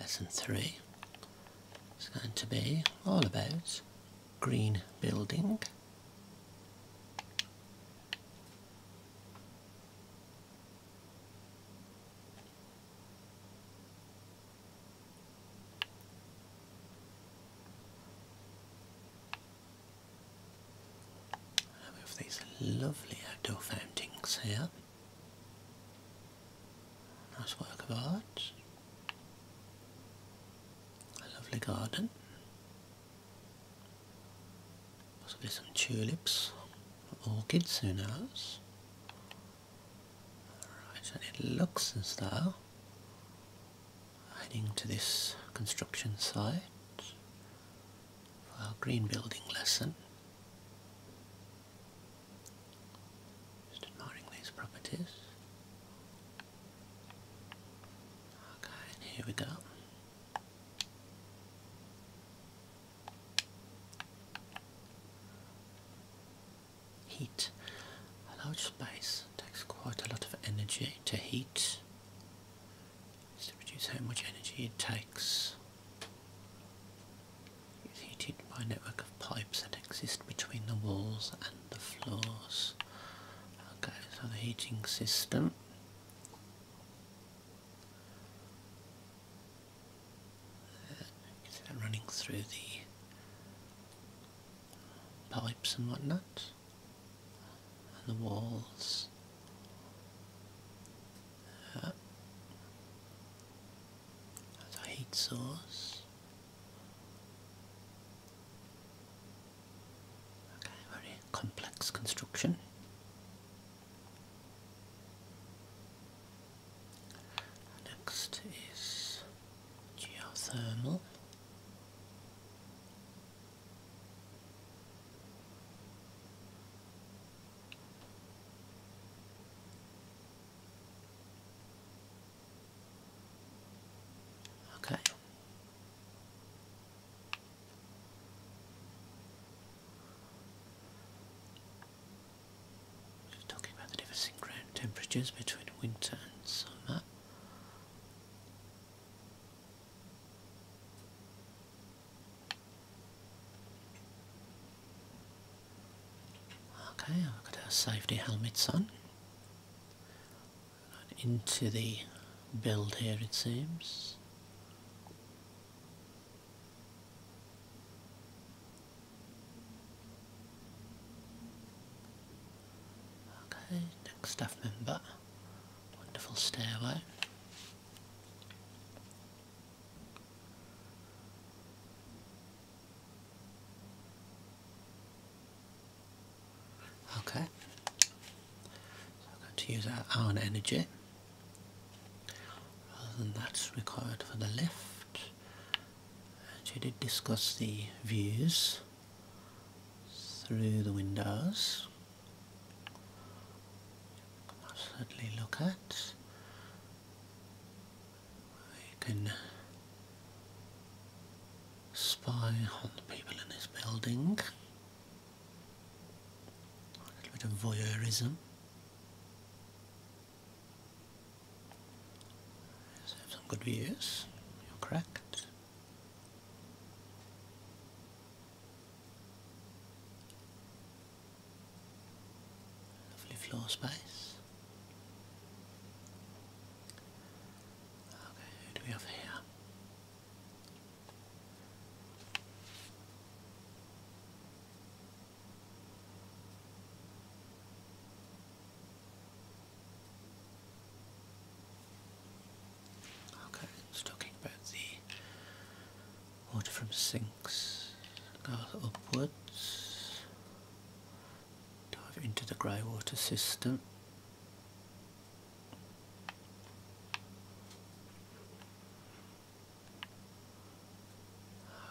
Lesson 3 is going to be all about green building. have these lovely outdoor fountains here. Nice work of art. A lovely garden. Possibly some tulips, orchids, who knows. Right, and it looks as though heading to this construction site for our green building lesson. Just admiring these properties. Okay, here we go. Heat. A large space takes quite a lot of energy to heat. Just to reduce how much energy it takes. It's heated by a network of pipes that exist between the walls and the floors. Okay, so the heating system. see that running through the pipes and whatnot, and the walls. Uh, as a heat source. Okay, very complex construction. Next is geothermal. Okay. Just talking about the difference ground temperatures between winter and summer. Okay, I've got our safety helmets on. into the build here it seems. Okay, next staff member. Wonderful stairway. Okay, so I'm going to use our own energy rather than that's required for the lift. And did discuss the views through the windows. I'll certainly look at. I can uh, spy on the people in this building. A little bit of voyeurism. So have some good views. You're correct. Lovely floor space. Okay, who do we have here? Okay, talking about the water from sinks goes upwards dive into the grey water system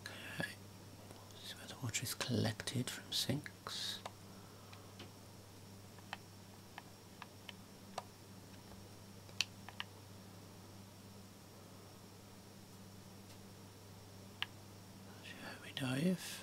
okay so where the water is collected from sinks we dive.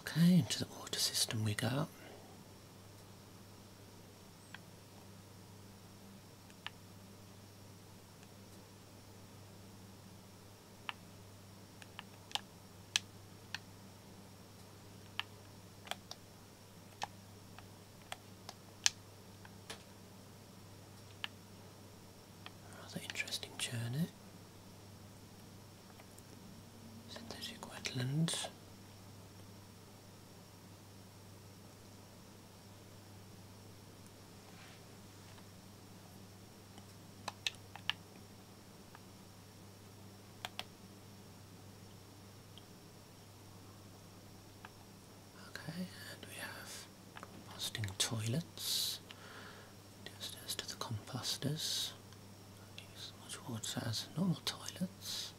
Okay, into the water system we go. Rather interesting journey. Synthetic wetlands. Okay, and we have composting toilets. Downstairs to the composters. Don't use as much water as normal toilets.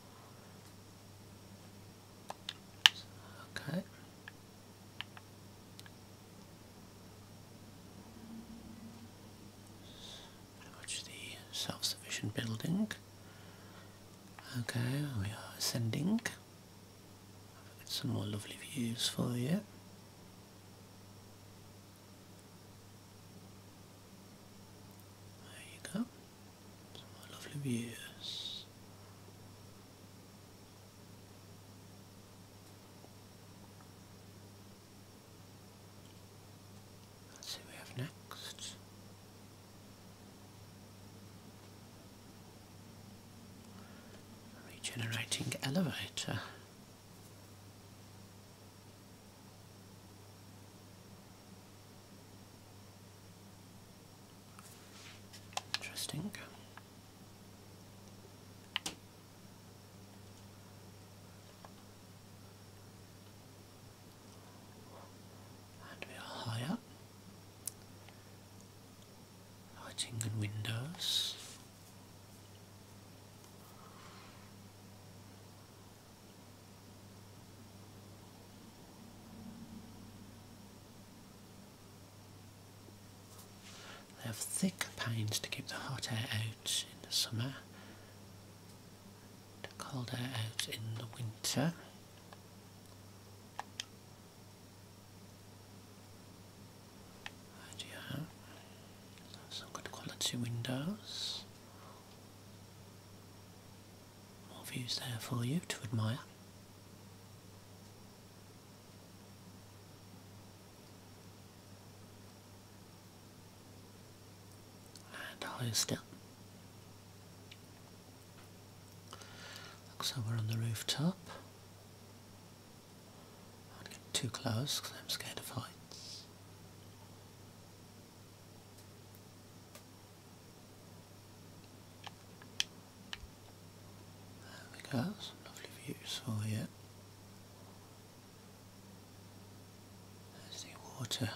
Okay. Pretty the self-sufficient building. Okay, we are ascending. I've got some more lovely views for you. There you go. Some lovely views. Let's see we have next. Regenerating elevator. Interesting. And we are higher. Lighting and windows. They have thick panes to keep the hot air out in the summer, the cold air out in the winter. And you have some good quality windows. More views there for you to admire. And higher still. Looks like we're on the rooftop. I won't get too close because I'm scared of heights. There we go, some lovely views for you. There's the water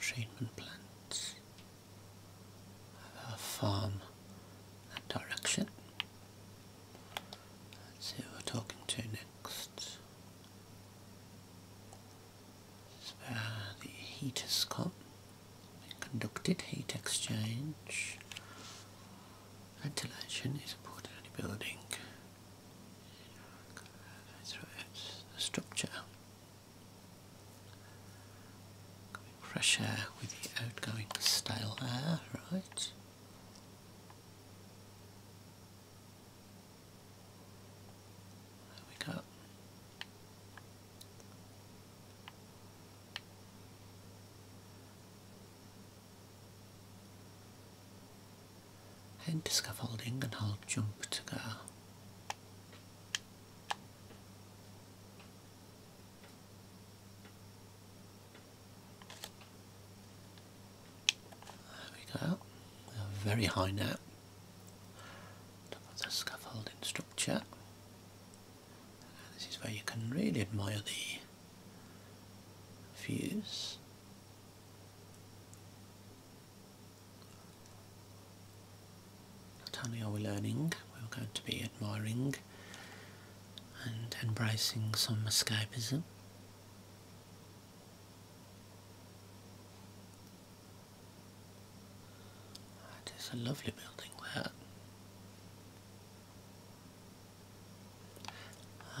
treatment plants of our farm that direction. Let's see who we're talking to next. Uh, the heat is caught. conducted heat exchange. Ventilation is important in the building. Through it, the structure. Fresh air with the outgoing stale air, right? There we go. Head to scaffolding and hold jump to go. There we go. are very high now. Top of the scaffolding structure. this is where you can really admire the views. Not only are we learning, we're going to be admiring and embracing some escapism. It is a lovely building There.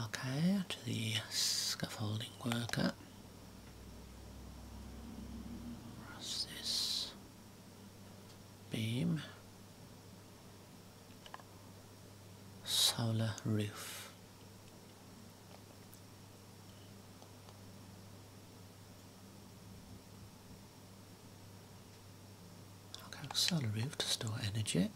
Okay, to the scaffolding worker. Press this beam solar roof. Okay, solar roof to store energy.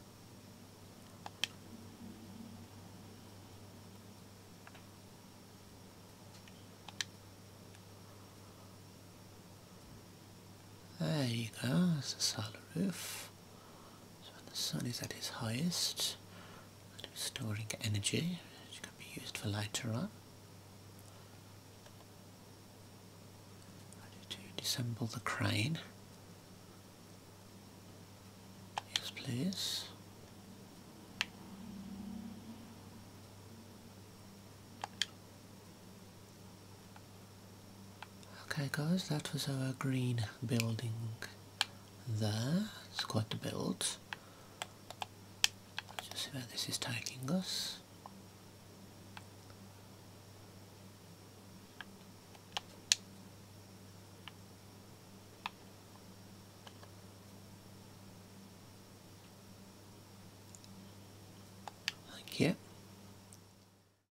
There you go, solar roof. So when the sun is at its highest, it is storing energy, which can be used for later on. I need to disassemble the crane. Yes, please. Okay guys, that was our green building there. It's quite a build. just see where this is taking us. Thank you.